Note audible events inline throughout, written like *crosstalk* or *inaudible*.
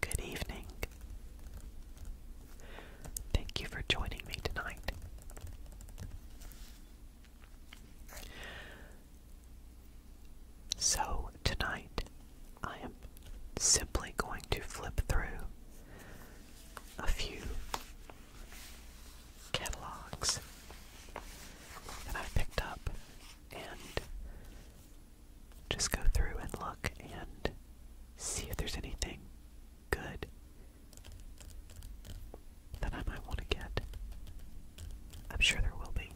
Good evening. Thank you for joining me tonight. So, tonight I am simply going to flip through a few catalogs that I've picked up and just go through and look and see if there's anything good that I might want to get. I'm sure there will be,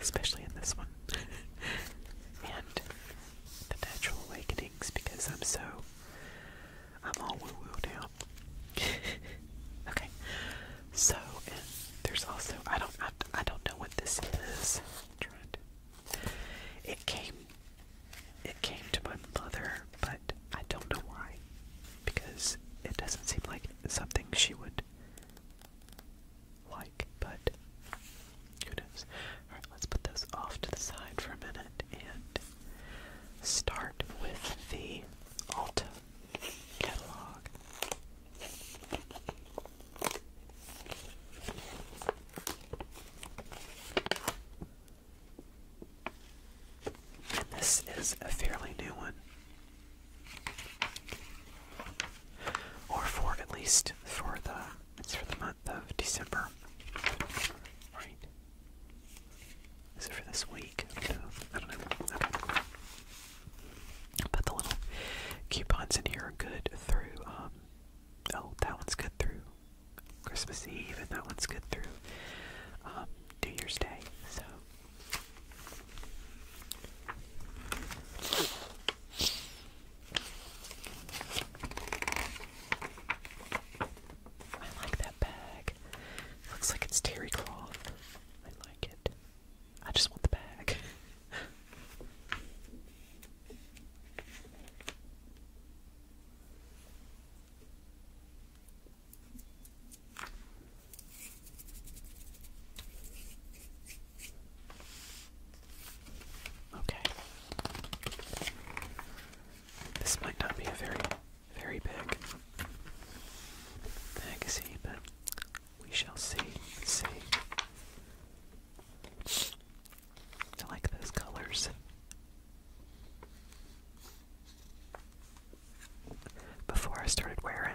especially in this one. *laughs* and the Natural Awakenings because I'm so I'm all woo woo now. *laughs* okay, so there's also I don't I, I don't know what this is. trying it came it came to my mother, but I don't know why because it doesn't seem like something she would like. But who knows? All right, let's put those off to the side for a minute and start with the Alta catalog. And this is a fairly new one. Or for at least for the it's for the month of December. Right. Is it for this week? I don't know. But the little coupons in here are good through, um, oh, that one's good through Christmas Eve, and that one's good through um, New Year's Day. So. I like that bag. Looks like it's terry cloth. I like it. I just want the bag. *laughs* Okay. This might not be a very, very big legacy, but we shall see. See. I like those colors. Before I started wearing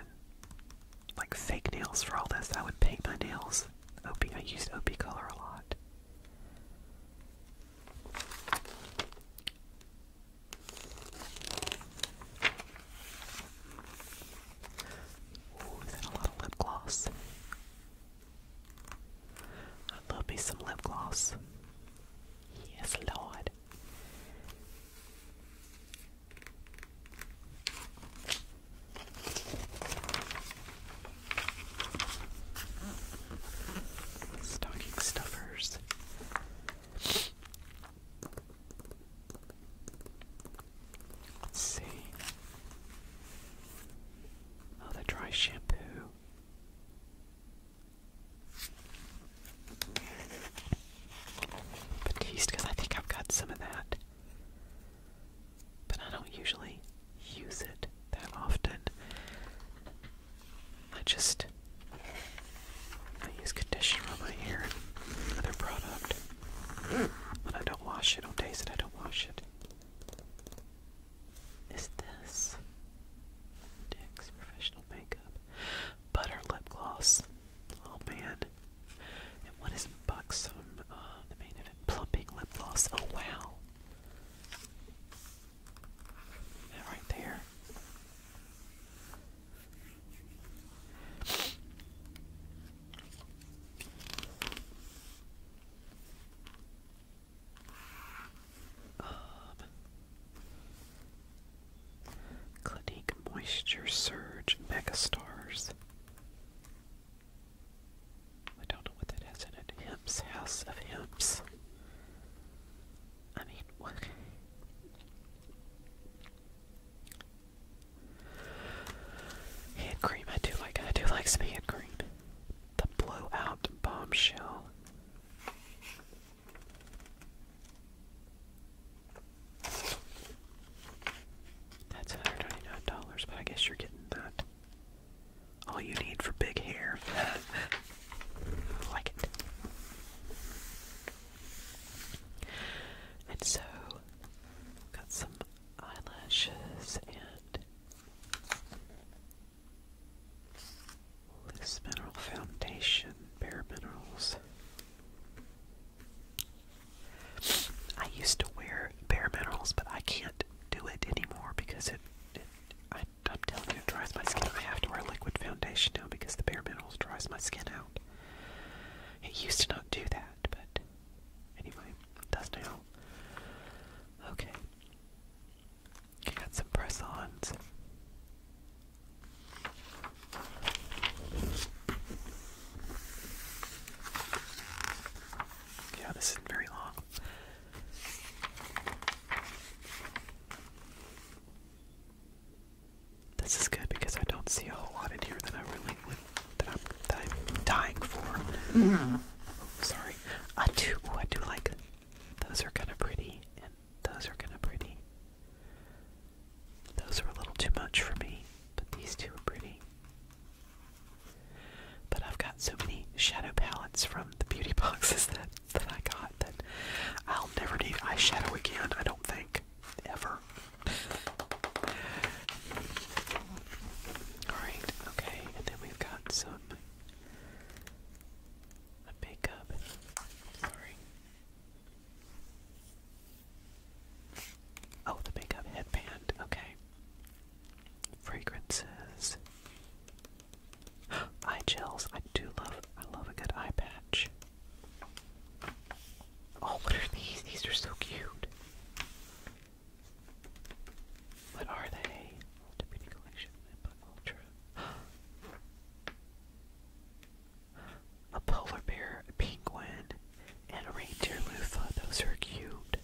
like fake nails for all this, I would paint my nails. Opie, I used Opie color a lot. Ooh, is a lot of lip gloss? I love me some lip gloss. Yes, Lord. Stocking stuffers. see. Oh, the dry shampoo. Batiste, I think I've got some of that. But I don't usually use it that often. I just I use conditioner on my hair and product. But I don't wash it, don't taste it, I don't wash it. Is this Dick's Professional Makeup Butter Lip Gloss? Oh man. And what is Buxom? Uh, the main event plumping lip gloss. Oh wow. That right there. Clinique Moisture Surge Mega Stars. I don't know what that has in it. Hymns, House of Hymns. I mean, what? Hand cream, I do like. I do like some hand cream. The blowout bombshell. That's $199, but I guess you're getting that all you need for big hair. I *laughs* like it. And so, got some eyelashes and loose mineral foundation, bare minerals. I used to wear bare minerals, but I can't do it anymore because it I I'm it dries my skin. I have to wear liquid foundation now because the bare minerals dries my skin out. It used to not do that, but anyway, it does Okay. I got some press ons. Yeah, this is very long. This is good because I don't see a whole lot in here that I really would, that I'm, dying for. Mm-hmm. Oh, sorry. I do. Oh, I do like. Those are kind of pretty, and those are kind of pretty. Those are a little too much for me, but these two are pretty. But I've got so many shadow palettes from the beauty *laughs* boxes that that I got that I'll never need eyeshadow again. I don't think ever. All right, okay, and then we've got some makeup. Sorry. Oh, the makeup headband. Okay fragrances, *gasps* eye gels. I do love. I love a good eye patch. Oh, what are these? These are so cute. What are they? *gasps* A polar bear, a penguin, and a reindeer loofah. Those are cute.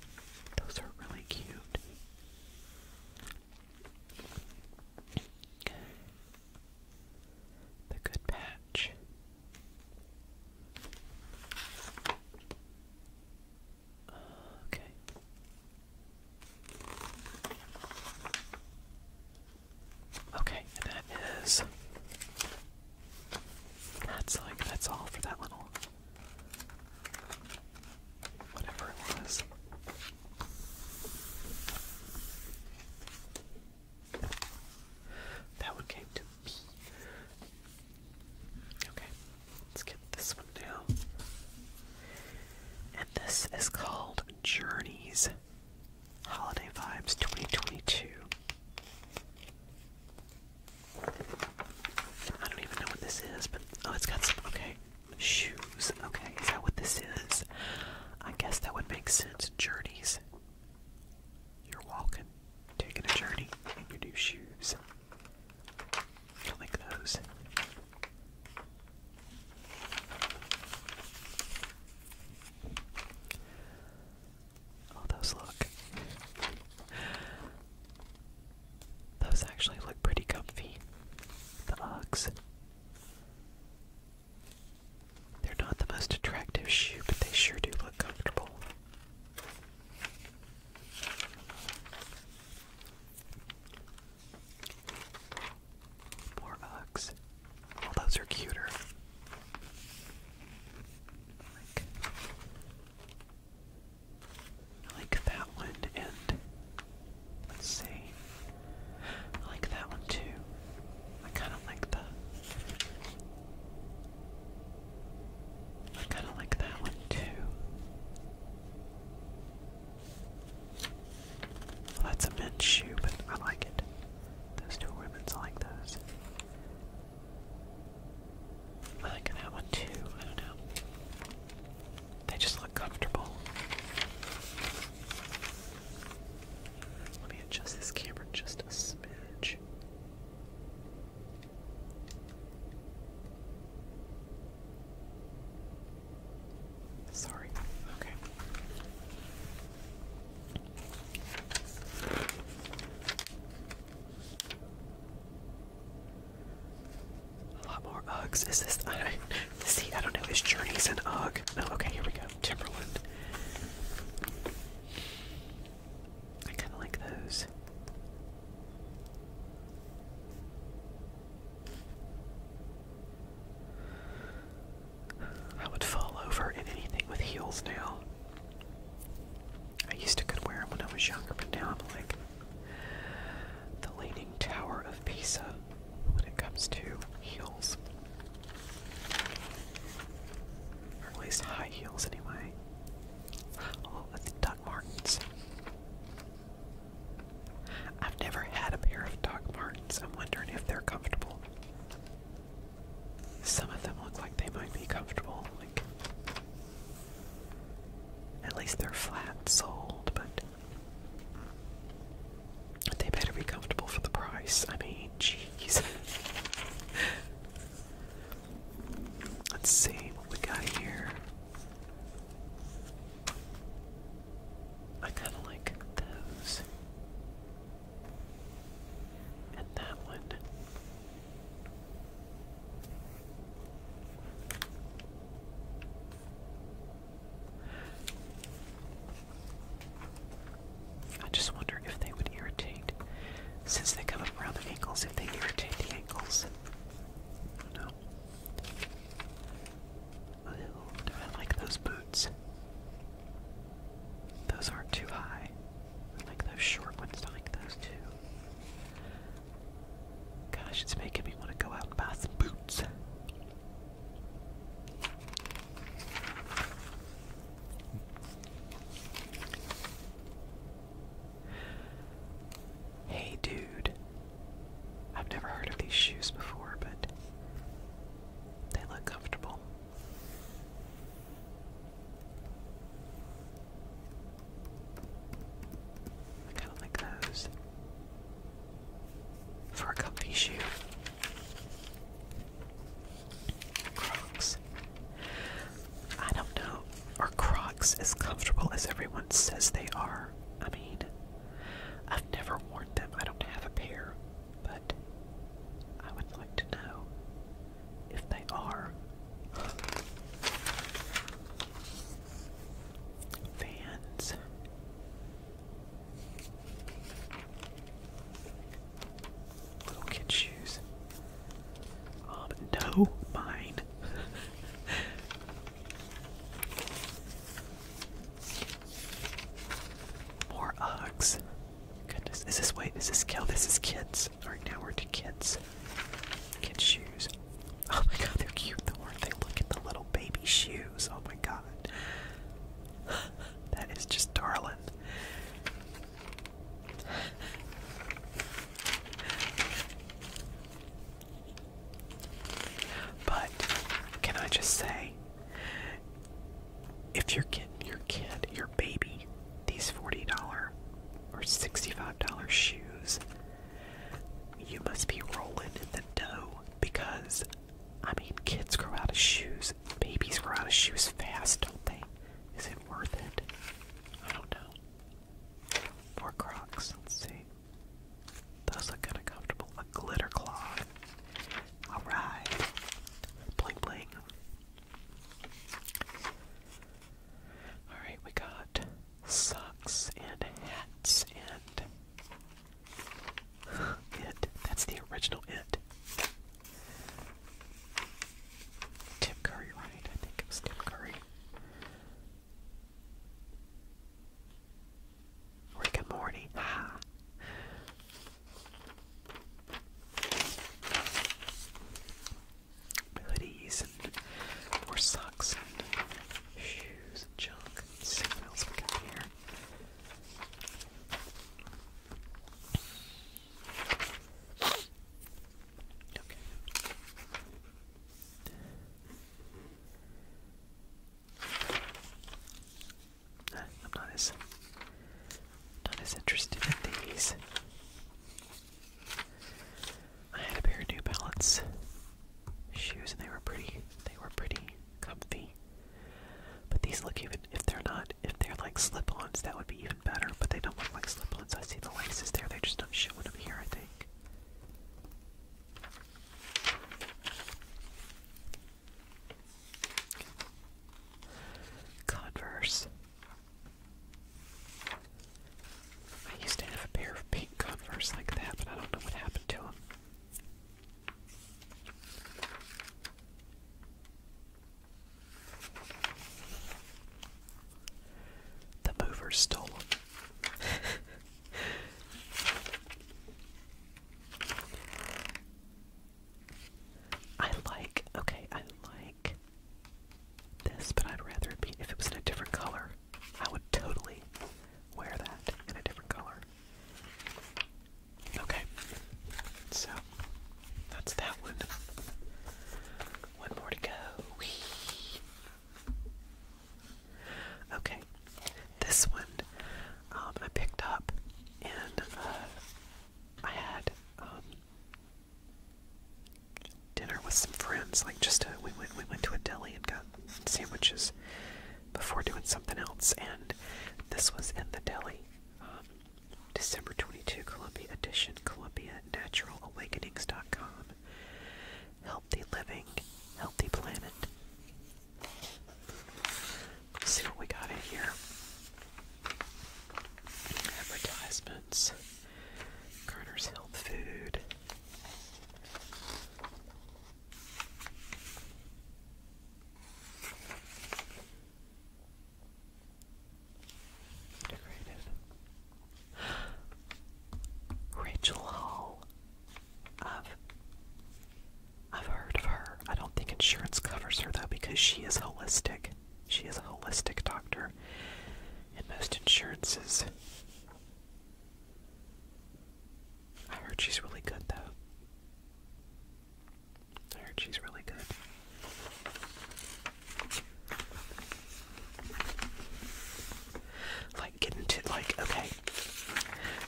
Those are really cute. The Good Patch. Okay. Okay, and that is. That's like, that's all for that little Whatever it was. That one came to me. Okay, let's get this one now. And this is called Journeys Holiday Vibes 2022. I don't even know what this is, but oh, it's got some, okay, shoes. Okay, is that what this is? I guess that would make sense. Journeys. You're walking, taking a journey, in your new shoes. I'll those. Oh, those look. Those actually look pretty comfy. The Uggs. They're not the most attractive shoe, but they sure do look comfortable. More Uggs. Well, those are cuter. I like that one, and let's see. I like that one too. I kind of like the. I kind of like that one too. that's a men's shoe, but I like it. Those two women's, like those. I like that one too. I don't know. They just look comfortable. Let me adjust this camera just a smidge. Sorry. Okay. A lot more Uggs. Is this? I see. I don't know. His Journeys an Ugg? No. Okay. Here we go. Timberland. I kind of like those. I would fall over in anything with heels now. I used to could wear them when I was younger, but now I'm like, the Leaning Tower of Pisa when it comes to heels. Or at least high heels, anyway. Oh, that's Doc Martens. I've never had a pair of Doc Martens. I'm wondering if they're comfortable. Some of them look like they might be comfortable, like at least they're flat sold, but they better be comfortable for the price. I mean, jeez. *laughs* Let's see what we got here. I kind of like those. And that one. I just wonder if they would irritate, since they come up around the ankles, if they irritate the ankles. I I like those boots? Those aren't too high. I like those short ones. I like those too. Gosh, it's making me want to go out and buy some boots. Hey, dude. I've never heard of these shoes before, but they look comfortable kind of like those for a comfy shoe. Crocs. I don't know. Are Crocs as comfortable as everyone says they are? I mean, I've never worn them. I don't have a pair, but I would like to know if they are, fans. Little kid shoes. Um, no, mine. *laughs* More Uggs. Goodness, is this Is this This is kids these are to kids. Kids' shoes. Oh my god, they're cute though, aren't they? Look at the little baby shoes. Oh my god. that is just darling. But can I just say, if you're getting your kid, your baby, these $40 or $65 shoes. You must be rolling in the dough because, I mean, kids grow out of shoes. Babies grow out of shoes fast, don't they? Is it worth it? I don't know. More Crocs, let's see. Those look kind of comfortable. A glitter claw. Alright. Bling bling. Alright, we got socks and hats and *sighs* it. That's the original it. Tim Curry, right? I think it was Tim Curry. Rick and hoodies and more socks and shoes and junk see what else we got here. Okay. I'm not as not as interested in these. I had a pair of New Balance shoes, and they were pretty. They were pretty comfy. But these look even if they're not if they're like slip-ons, that would be even better. But they don't look like slip-ons. I see the laces there; they're just not showing them here. I think. Converse. I used to have a pair of pink Converse like that, but I don't know what happened to them. The mover stole them. *laughs* I like, okay, I like this, but I'd rather it be, if it was in a different color, I would totally wear that in a different color. Okay, so that's that one. One more to go. Okay, this one um, I picked up, and uh, I had um, dinner with some friends. Like just we went we went to a deli and got sandwiches before doing something else. And this was in the deli. Um, December 22, Columbia edition, Columbia Natural Awakenings.com. Healthy living, healthy planet. see what we got here. Advertisements. Garner's Health Food. *gasps* Rachel Hall. I've I've heard of her. I don't think insurance covers her though because she is holistic. She is a holistic doctor, and most insurances. I heard she's really good, though. I heard she's really good. Like, getting to, like, okay.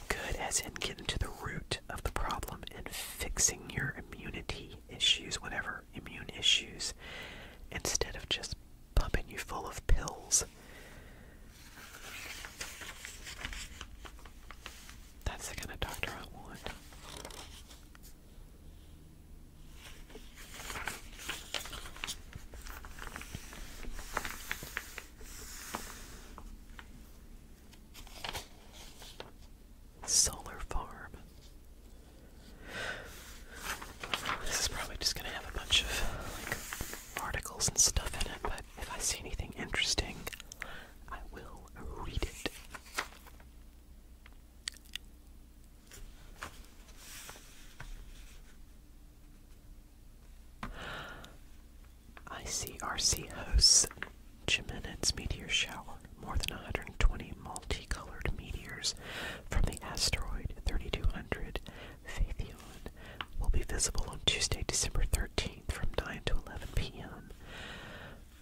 Good as in getting to the root of the problem and fixing your immunity issues, whatever immune issues instead of just pumping you full of pills. That's the kind of doctor I want solar farm. This is probably just gonna have a bunch of articles and stuff in it, but if I see anything interesting, I will read it. ICRC hosts Jimenez meteor shower more than 120 multicolored meteors from the asteroid 3200 Phaethon will be visible on Tuesday, December 13th from 9 to 11 p.m.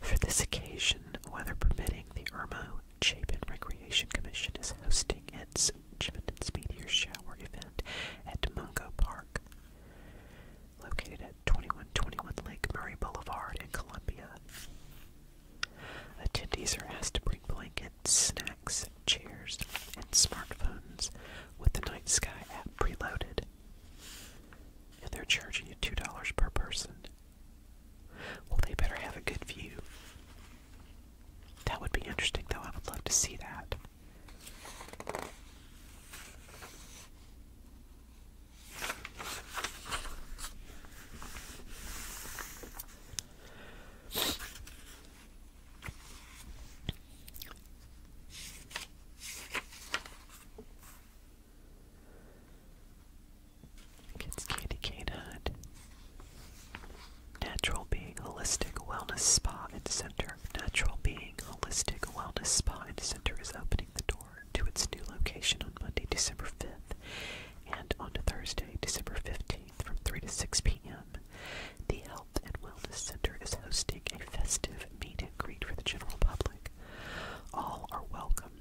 For this occasion, weather permitting, the Irmo Chapin Recreation Commission is hosting its Jimin's Meteor Shower event at Mungo Park, located at 2121 Lake Murray Boulevard in Columbia. Attendees are asked to bring blankets, snacks, chairs, and smartphones with the Night Sky app preloaded. And they're charging you $2 per person. Well, they better have a good view. That would be interesting, though. I would love to see that. Kids Candy Cane Hut. Natural Being Holistic Wellness Spa and Center. Natural Being Holistic Wellness Spa and Center is opening the door to its new location on Monday, December 5th, and on Thursday, December 15th from 3 to 6 p.m. The Health and Wellness Center is hosting a festive meet and greet for the general public. All are welcome.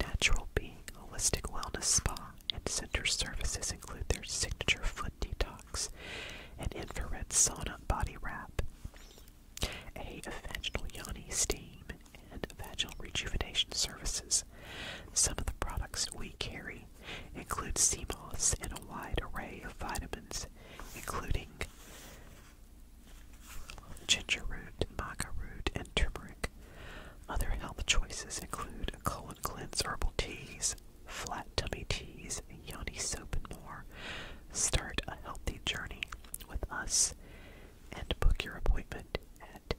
Natural Being Holistic Wellness Spa and Center services include their signature foot detox, an infrared sauna body wrap, a vaginal steam, and vaginal rejuvenation services. Some of the products we carry include sea moss and a wide array of vitamins, including ginger root, maca root, and turmeric. Other health choices include colon cleanse herbal teas, flat tummy teas, yoni soap, and more. Start a healthy journey with us and book your appointment at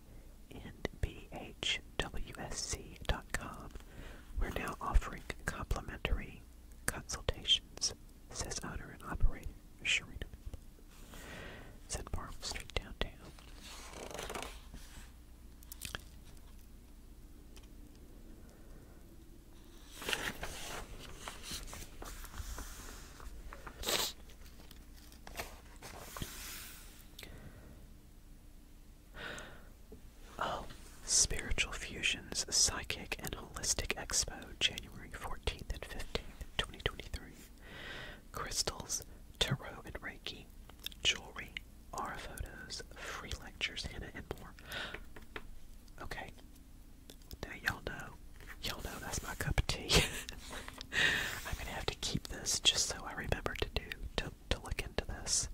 nbhwsc.com. We're now offering complimentary consultations, says owner and operator Sharina. It's in Street downtown. Oh, Spiritual Fusions Psychic and Holistic Expo, January 14th and 15th, 2023. Crystals, Tarot and Reiki, Jewelry, aura photos, free lectures, Hannah, and more. Okay, now y'all know, y'all know that's my cup of tea. *laughs* I'm gonna have to keep this just so I remember to do to to look into this.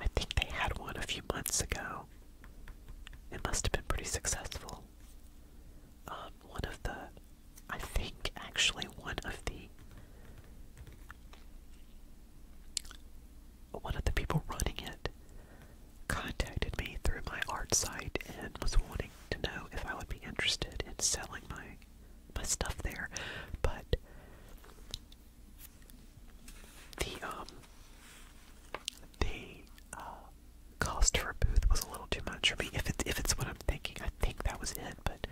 I think they had one a few months ago. It must have been pretty successful. Um, one of the, I think actually one of the. One of the people running it contacted me through my art site and was wanting to know if I would be interested in selling my my stuff there. But the um the uh, cost for a booth was a little too much for me. If it's if it's what I'm thinking, I think that was it. But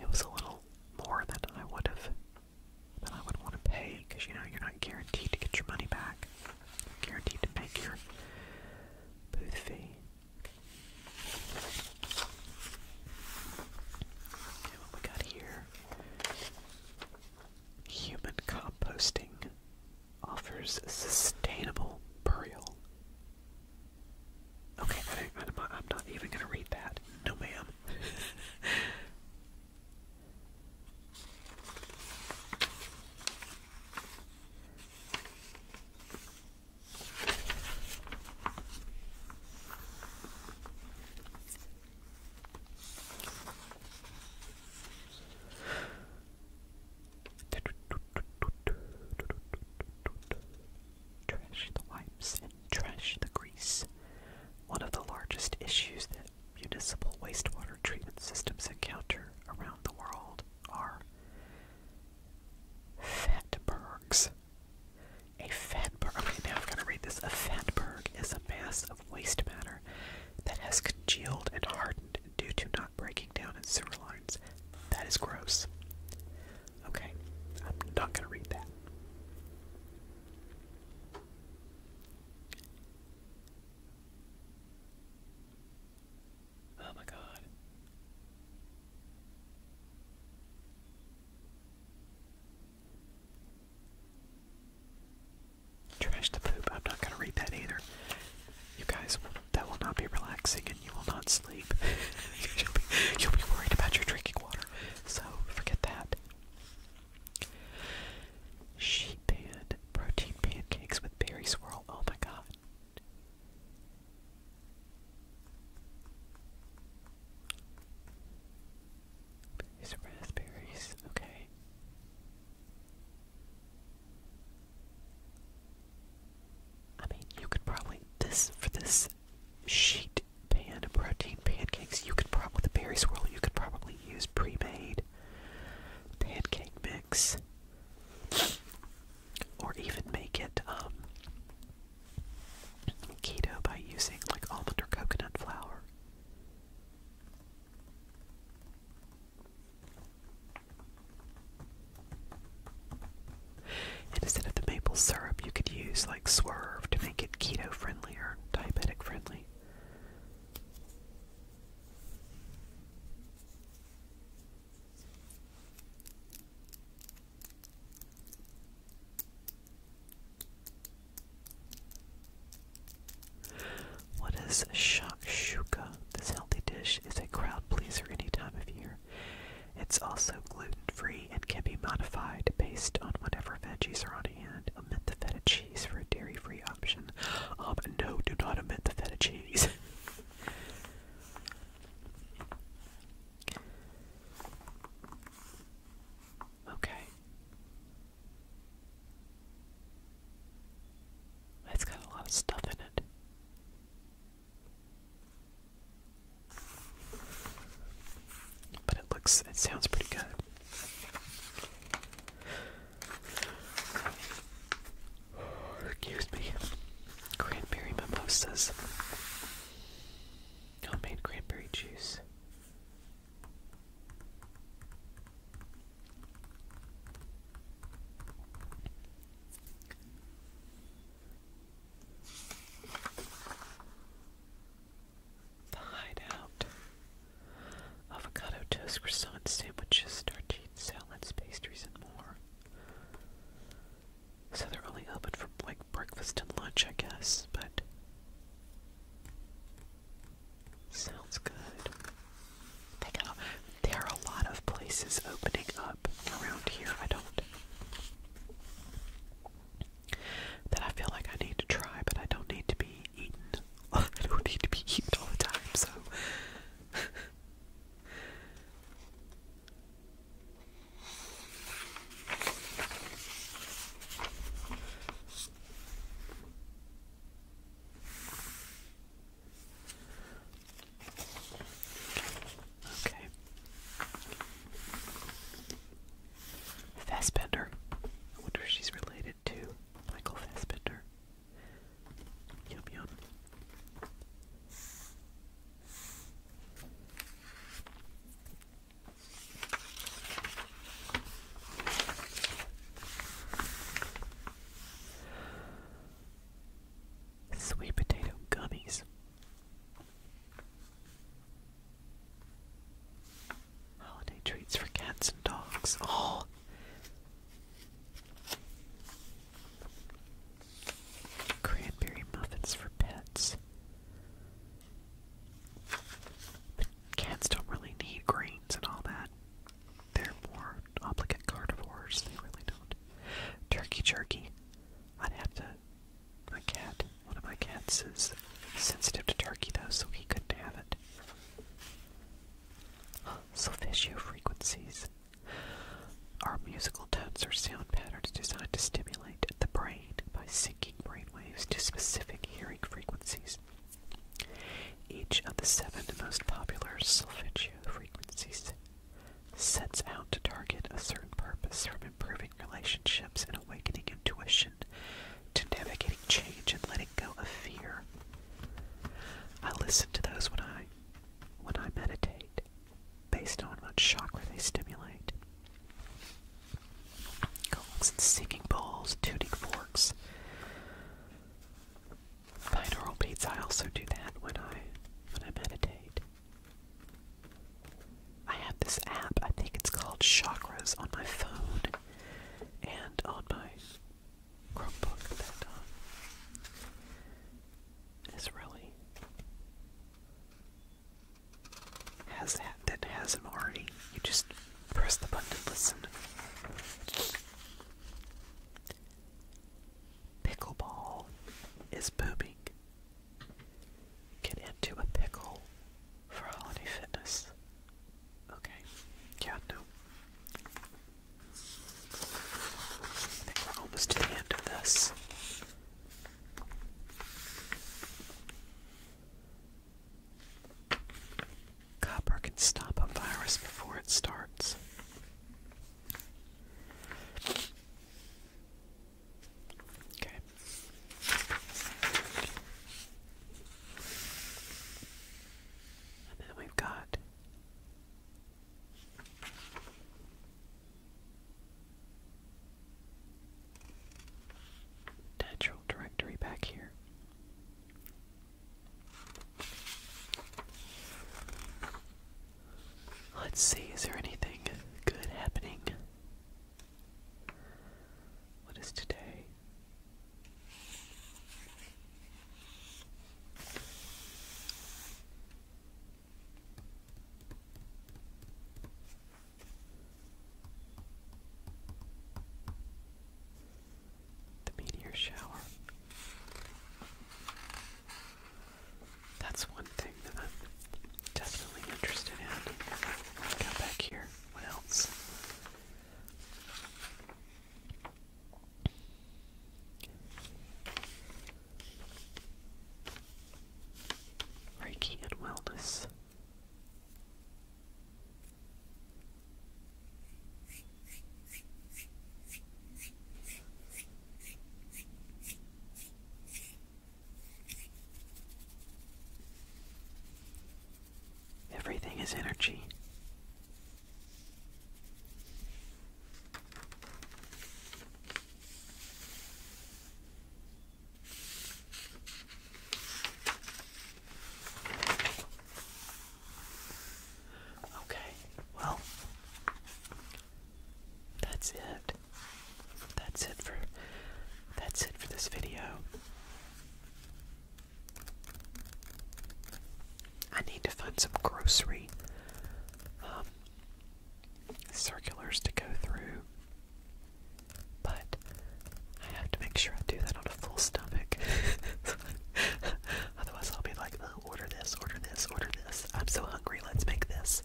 it was a little more than I would have than I would want to pay because you know you're not guaranteed to get your money back. guaranteed to make your Boothby. Okay, what we got here? Human composting offers sustainable burial. Okay, I am not even gonna read that. No, ma'am. *laughs* Trash the wipes and trash the grease. One of the largest issues that municipal wastewater treatment systems encounter around the world are fatbergs. A fatberg, okay, now I've got to read this. A fatberg is a mass of waste matter that has congealed and hardened due to not breaking down in sewer lines. That is gross. Okay, I'm not going to read that. Oh my god. Trash to poop. I'm not gonna read that either. You guys, that will not be relaxing and you will not sleep. *laughs* you'll be worried about your drinking water. So, forget that. Sheet pan protein pancakes with berry swirl. Oh my god. These are Okay. I mean, you could probably this for this sheet pan protein pancakes. You could probably the berry swirl. You could probably use pre-made pancake mix, or even make it um, keto by using like almond or coconut flour. instead of the maple syrup, you could use like Swerve to make it keto friendly or diabetic friendly. What is shakshuka? This healthy dish is a crowd pleaser any time of year. It's also gluten free and can be modified based on whatever veggies are on hand. Omit the feta for a dairy-free option. Um, no, do not omit the feta cheese. *laughs* okay. It's got a lot of stuff in it. But it looks, it sounds pretty good. Oh, excuse me. Cranberry mimosas. Homemade cranberry juice. The hideout avocado toast, croissants, sandwiches, tartines, salads, pastries, and more. So they're only open for like breakfast and lunch, I guess, but sounds good. They got, there are a lot of places opening up around here. I don't that I feel like I need to try, but I don't need to be eaten *laughs* I don't need to be eaten all the time, so. Okay. Fassbender. I wonder if she's related spider Michael Fassbender. Yum yum. Sweet potato gummies. Holiday treats for cats and dogs. Oh. Cranberry muffins for pets. cats don't really need grains and all that. They're more obligate carnivores. They really don't. Turkey jerky. I'd have to. My cat. One of my cats is sensitive to turkey though, so he couldn't have it. Solfeggio frequencies are musical tones or sound patterns designed to stimulate the brain by syncing brain waves to specific hearing frequencies. Each of the seven most popular solfeggio frequencies sets out to target a certain purpose from improving relationships and awakening intuition to navigating change and letting go of fear. I listen to those when I when I meditate, based on what chakra they stimulate. Gongs and singing bowls, tuning forks. Binaural beats, I also do that when I when I meditate. I have this app, I think it's called Chakras on my phone and on my Chromebook that is really has that that has them already. You just press the button to listen. Pickleball is booming. Get into a pickle for Holiday Fitness. Okay. Yeah, no. I think we're almost to the end of this. Copper can stop a virus before it starts. Okay. And then we've got natural directory back here. Let's see, is there anything good happening? What is today? The meteor shower. That's one thing that I'm definitely interested in. Go back here. What else? Reiki and Wellness. Everything is energy. Okay, well, that's it. That's it for that's it for this video. I need to find some grocery um, circulars to go through, but I have to make sure I do that on a full stomach. *laughs* Otherwise, I'll be like, oh, order this, order this, order this. I'm so hungry, let's make this.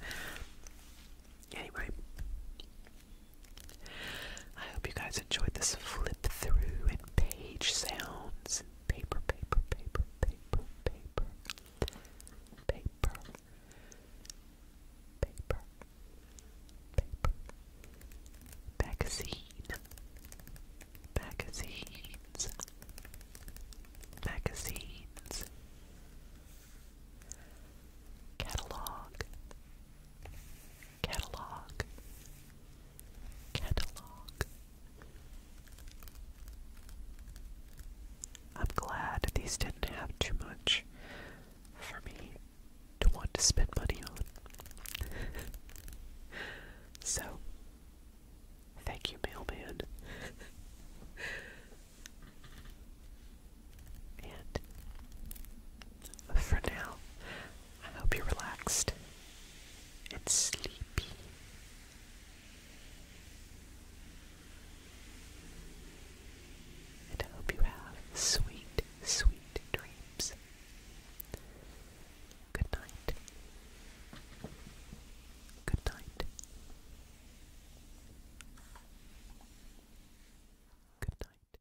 Anyway, I hope you guys enjoyed this flip through and page sounds and paper, paper, paper, paper, paper, paper, paper, paper, magazine, magazines, magazines, catalog. Catalog. Catalog. I'm glad these didn't have too much for me to want to spend money on. *laughs* so, thank you, mailman. *laughs* and for now, I hope you're relaxed and sleepy. And I hope you have sweet, sweet dreams. Good night. Good night. Good night.